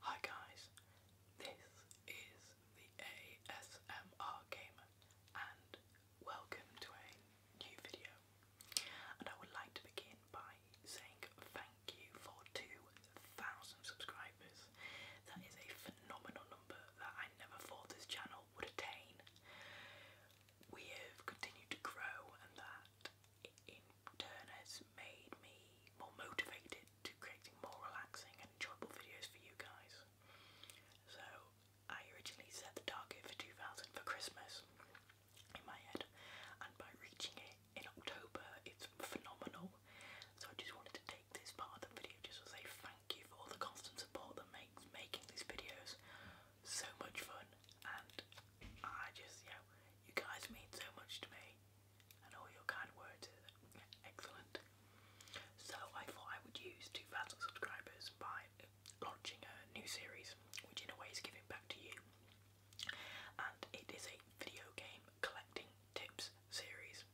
Hi guys, this is the ASMR Gamer and welcome to a new video. And I would like to begin by saying thank you for 2,000 subscribers. That is a phenomenal number that I never thought this channel would attain. We have continued to grow, and that in turn has made me more motivated to creating more relaxing and enjoyable videos for you guys. So, I originally set the target for 2000 for Christmas in my head, and by reaching it in October, it's phenomenal. So, I just wanted to take this part of the video just as a thank thank you for all the constant support that makes making these videos so much fun and I just you know you guys mean so much to me and all your kind words are excellent. So I thought I would use 2,000 subscribers by launching a new series which in a way is giving back to you and it is a video game collecting tips series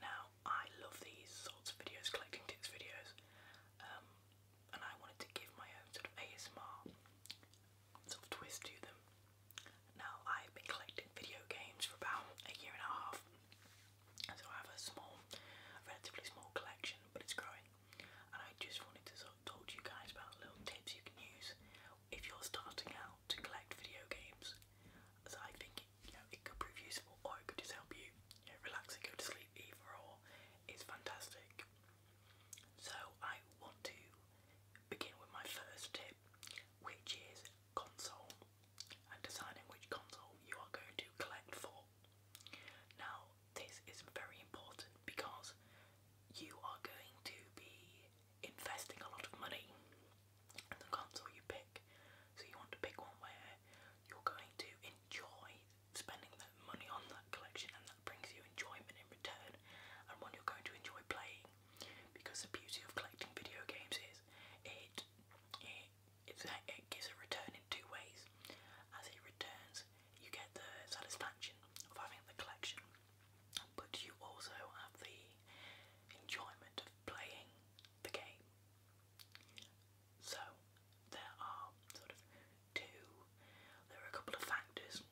now, I love these sorts of videos, collecting tips videos, um, and I wanted to give my own sort of ASMR sort of twist to them. Now, I've been collecting video games for about a year and a half, so I have a small, relatively small collection, but it's growing. And I just wanted to sort of talk to you guys about little tips you can use if you're starting out to collect video games. So I think you it could prove useful or it could just help you, relax and go to sleep either it's fantastic. So I want to begin with my first tip which is console deciding which console you are going to collect for. Now this is very important because you are going to be investing a lot of money and the console you pick. So you want to pick one where you're going to enjoy spending that money on that collection and that brings you enjoyment in return and one you're going to enjoy playing. Because the beauty of collecting video games is it it it's, it gives a return in two ways. As it returns, you get the satisfaction of having the collection, but you also have the enjoyment of playing the game. So there are sort of two, there are a couple of factors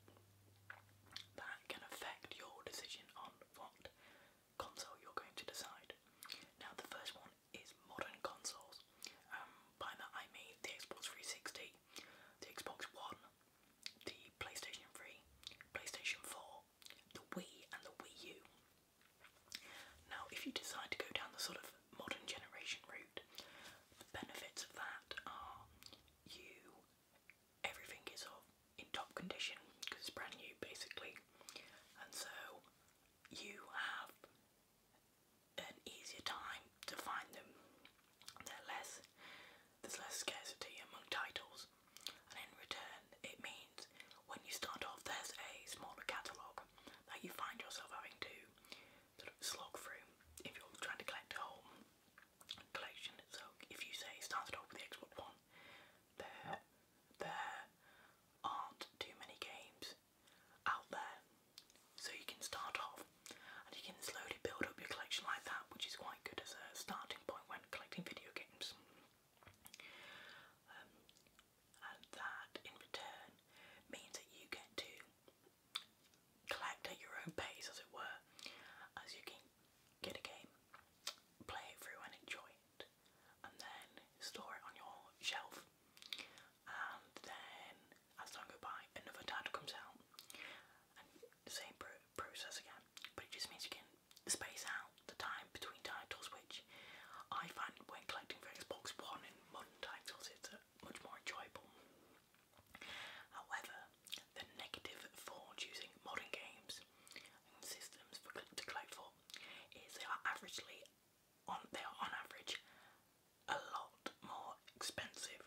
that can affect your decision on what console you're going to decide. Now the first one is modern consoles. Um, by that I mean the Xbox 360, the Xbox One, the PlayStation 3, PlayStation 4, the Wii and the Wii U. Now, if you decide to go down the sort of modern generation route, the benefits of that are you everything is of in top condition because it's brand new basically, and so you have an easier time to find them. They're less there's less scarcity among titles and in return, it means when you start off, there's a smaller catalogue that you find yourself having to sort of slog through if you're trying to collect a whole collection. So if you say start off with the Xbox One, there, there aren't too many games out there. So you can start off and you can slowly build up your collection like that, which is quite good as a starting point when collecting video games. Um, and that in return means that you get to collect at your own pace, as it were, as you can get a game, play it through and enjoy it, and then store it on your shelf. And then, as time goes by, another title comes out, and the same process again. But it just means you can space out the time between titles, which I find when collecting for Xbox One in modern titles, it's much more enjoyable. However, the negative for choosing modern games and systems for to collect for is they are averagely on they are on average a lot more expensive.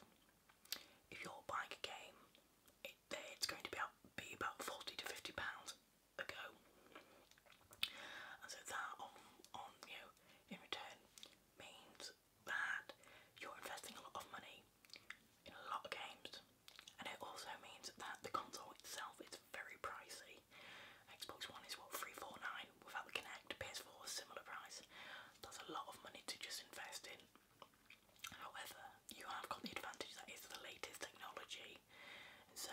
If you're buying a game it's going to be, out, be about 40 to 50 pounds a go. And so that on, on you in return means that you're investing a lot of money in a lot of games. And it also means that the console itself is very pricey. Xbox One is what, 349 without the Kinect, PS4 similar price. That's a lot of money to just invest in However, you have got the advantage that it's the latest technology, so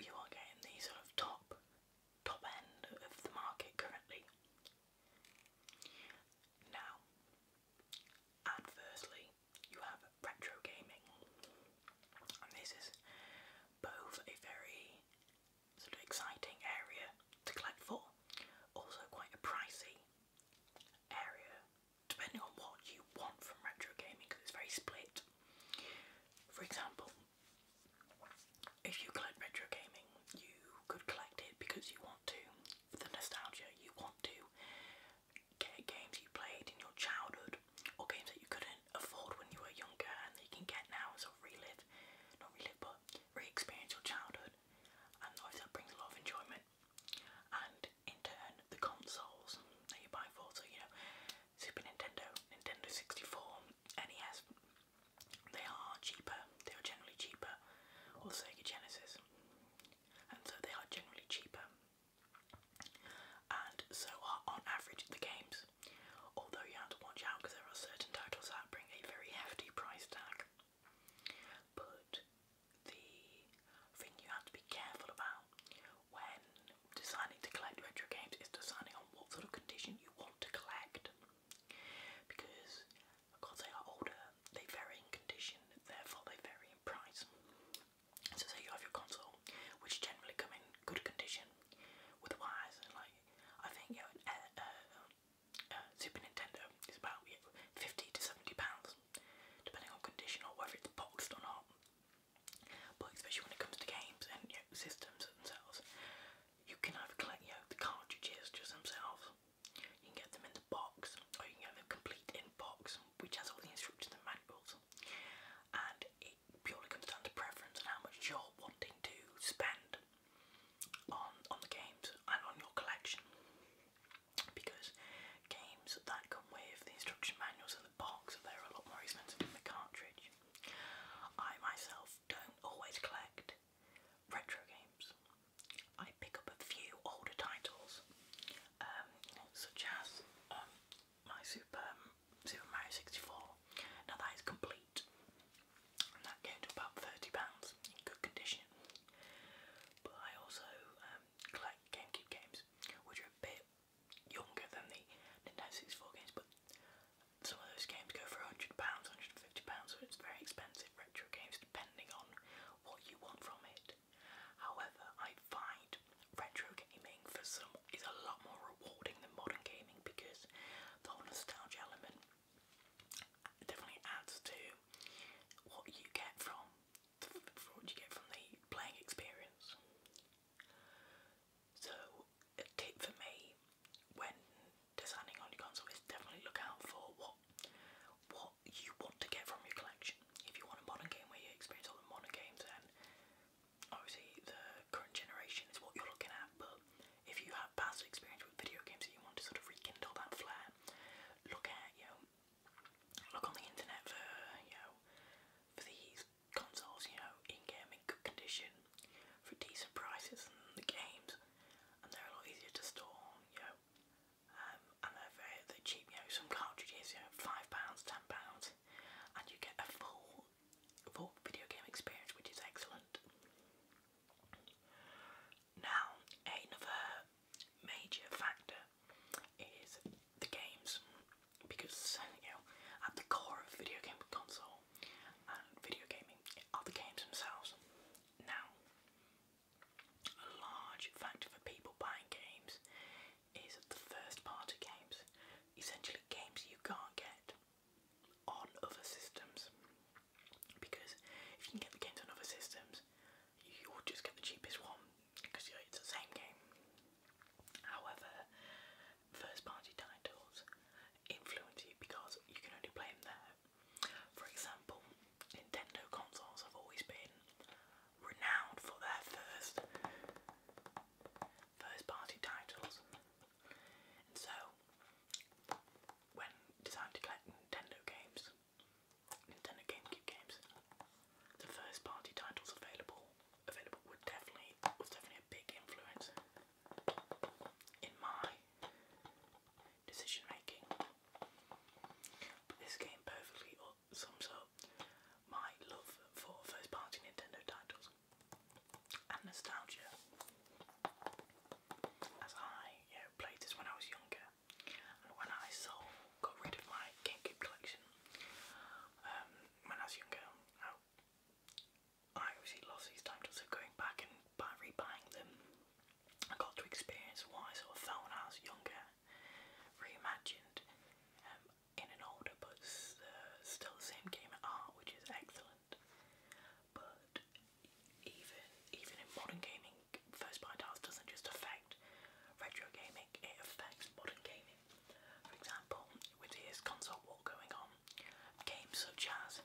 you are getting the sort of top top end of the market currently. Now, adversely, you have retro gaming, and this is both a very sort of exciting area to collect for, also quite a pricey area depending on what you want from retro gaming because it's very split. For example, if you collect retro gaming, you could collect it because you want to, for the nostalgia, you want to get games you played in your childhood or games that you couldn't afford when you were younger and that you can get now as a relive, not relive, but re experience your childhood. And that brings a lot of enjoyment and in turn the consoles that you buy for, so you know, Super Nintendo, Nintendo 64, NES, they are cheaper, they are generally cheaper, or Sega Genesis, and so they are generally cheaper, and so are on average the games, although you have to watch out because there are certain titles that bring a very hefty price tag. But the thing you have to be careful about when deciding to collect retro games is deciding on what sort of condition you want to collect. Because because they are older, they vary in condition, therefore they vary in price. So say you have your console, which generally come in good condition. Otherwise, like I think you know, an, uh, uh, Super Nintendo is about 50 to 70 pounds, depending on condition or whether it's boxed or not. But especially when it comes to games and systems themselves, you can either collect you know, the cartridges just themselves, you can get them in the box, or you can get them complete in box, which has all the instructions and manuals. And it purely comes down to preference and how much you're wanting to spend on on the games and on your collection because games that come with the instruction manuals and the box they're a lot more expensive than the cartridge. I myself don't always collect retro games. I pick up a few older titles, um, such as um, my Super Super Mario 64. Now that is complete and that came to about £30 in good condition. But I also um, collect GameCube games, which are a bit younger than the Nintendo 64 games, but some of those games go for £100, £150, so it's very expensive retro games depending on what you want from it. However, I find retro gaming for some is a lot more rewarding than modern gaming because the whole nostalgia element definitely adds to what you get from, from what you get from the playing experience. So a tip for me when designing on your console is definitely look out for what what you want to get from your collection. If you want a modern game where you experience all the modern games then obviously the current generation is what you're looking at but if you have past experience with video games that you want to sort of rekindle that flair, look at you know, look on the internet for you know, for these consoles, you know, in game in good condition for decent prices and the games, and they're a lot easier to store, you know, um, and they're they're cheap. You know, some cartridges, you know, five pounds, ten pounds, and you get a full full video game experience, which is excellent. Now, another major factor is the games, because you know at the core of video game console and video gaming are the games themselves. Now, a large factor for people buying games is the first party games, essentially games you can't get on other systems because if you can get the games on other systems, you'll just get the cheapest one because it's the same game. However, first party titles influence you because you can only play them there. For example, Nintendo consoles have always been renowned for their first first party titles and so, when designed to Nintendo games, Nintendo GameCube games, the first party titles available available would definitely was definitely a big influence in my decision making. But this game perfectly uh, sums up my love for first party Nintendo titles and nostalgia as I yeah, played this when I was younger, and when I sold, got rid of my GameCube collection um, when I was younger, I, obviously lost these titles, so going back and by buying them, I got to experience what I saw of felt when younger, reimagined um, in an older but uh, still the same game art, which is excellent. Island. But even even in modern gaming, first party titles doesn't just affect retro gaming, it affects modern gaming. For example, with this console war going on, games such as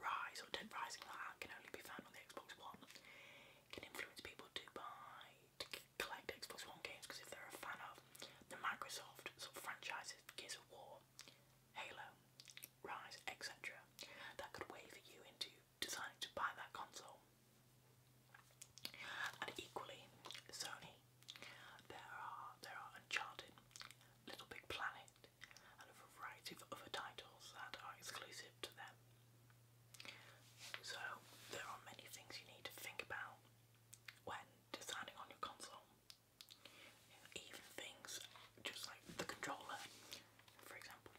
Rise or Dead Rising like that can only be found on the Xbox One. It can influence people to buy to collect Xbox One games because if they're a fan of the Microsoft sort of franchises, Gears of War, Halo, Rise, etc. that could waver you into deciding to buy that console. And equally, Sony, there are there are Uncharted, Little Big Planet, and a variety of other titles that are exclusive to them. So there are many things you need to think about when deciding on your console even things just like the controller, for example.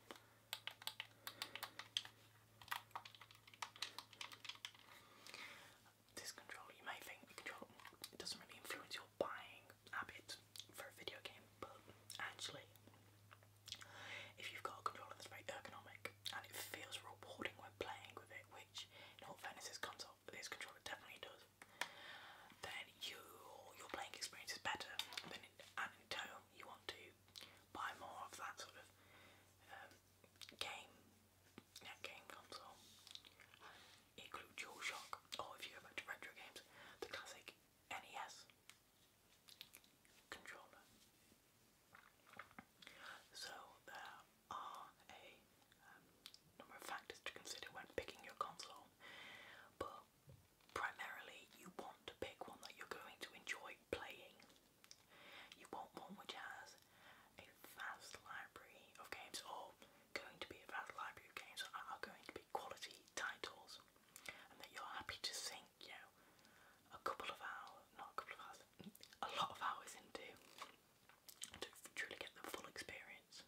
This controller, you may think the controller it doesn't really influence your buying habits for a video game, but actually, if you've got a controller that's very ergonomic and it feels rewarding when playing with it, which in all fairness, this console, this controller definitely does then you, your playing experience is better. Then in, and you want to buy more of that sort of um, game, net game console. Include DualShock, or if you go back to retro games, the classic NES controller. So are a um, number of factors to consider when picking your console, but primarily you want to pick one that you're going to enjoy playing. You want one which has a vast library of games, or going to be a vast library of games that are going to be quality titles, and that you're happy to sink, you know, a couple of hours, not a couple of hours, a lot of hours into to truly get the full experience.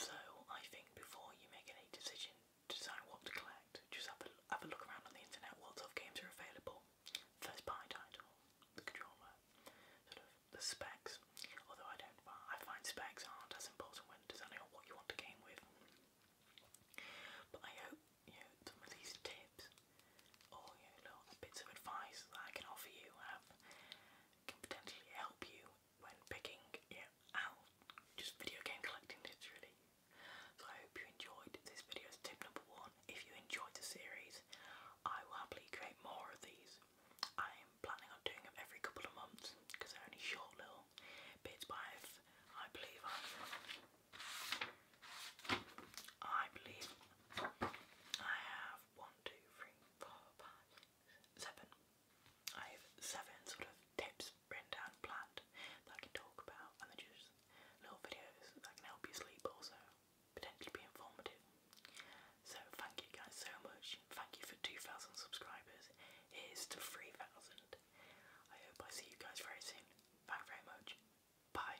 So I think before you make any decision to decide what to collect, just have a, have a look around on the internet what sort of games are available. First buy title, the controller, sort of the specs. Although I don't I find specs aren't as important when deciding what you want a game with. But I hope you know some of these tips or you know, bits of advice that I can offer you have um, can potentially help you when picking yeah, out just video game collecting tips really. So I hope you enjoyed this video tip number one. If you enjoyed the series, I will happily create more of these. I am planning on doing them every couple of months because they're only short little bits, but i I believe I've I believe I have one, two, three, four, five, six, seven. I have seven sort of tips written down, planned that I can talk about, and they're just little videos that can help you sleep, also potentially be informative. So thank you guys so much. Thank you for 2,000 subscribers. Here's to 3,000. I hope I see you guys very soon. Thank you very much. Bye.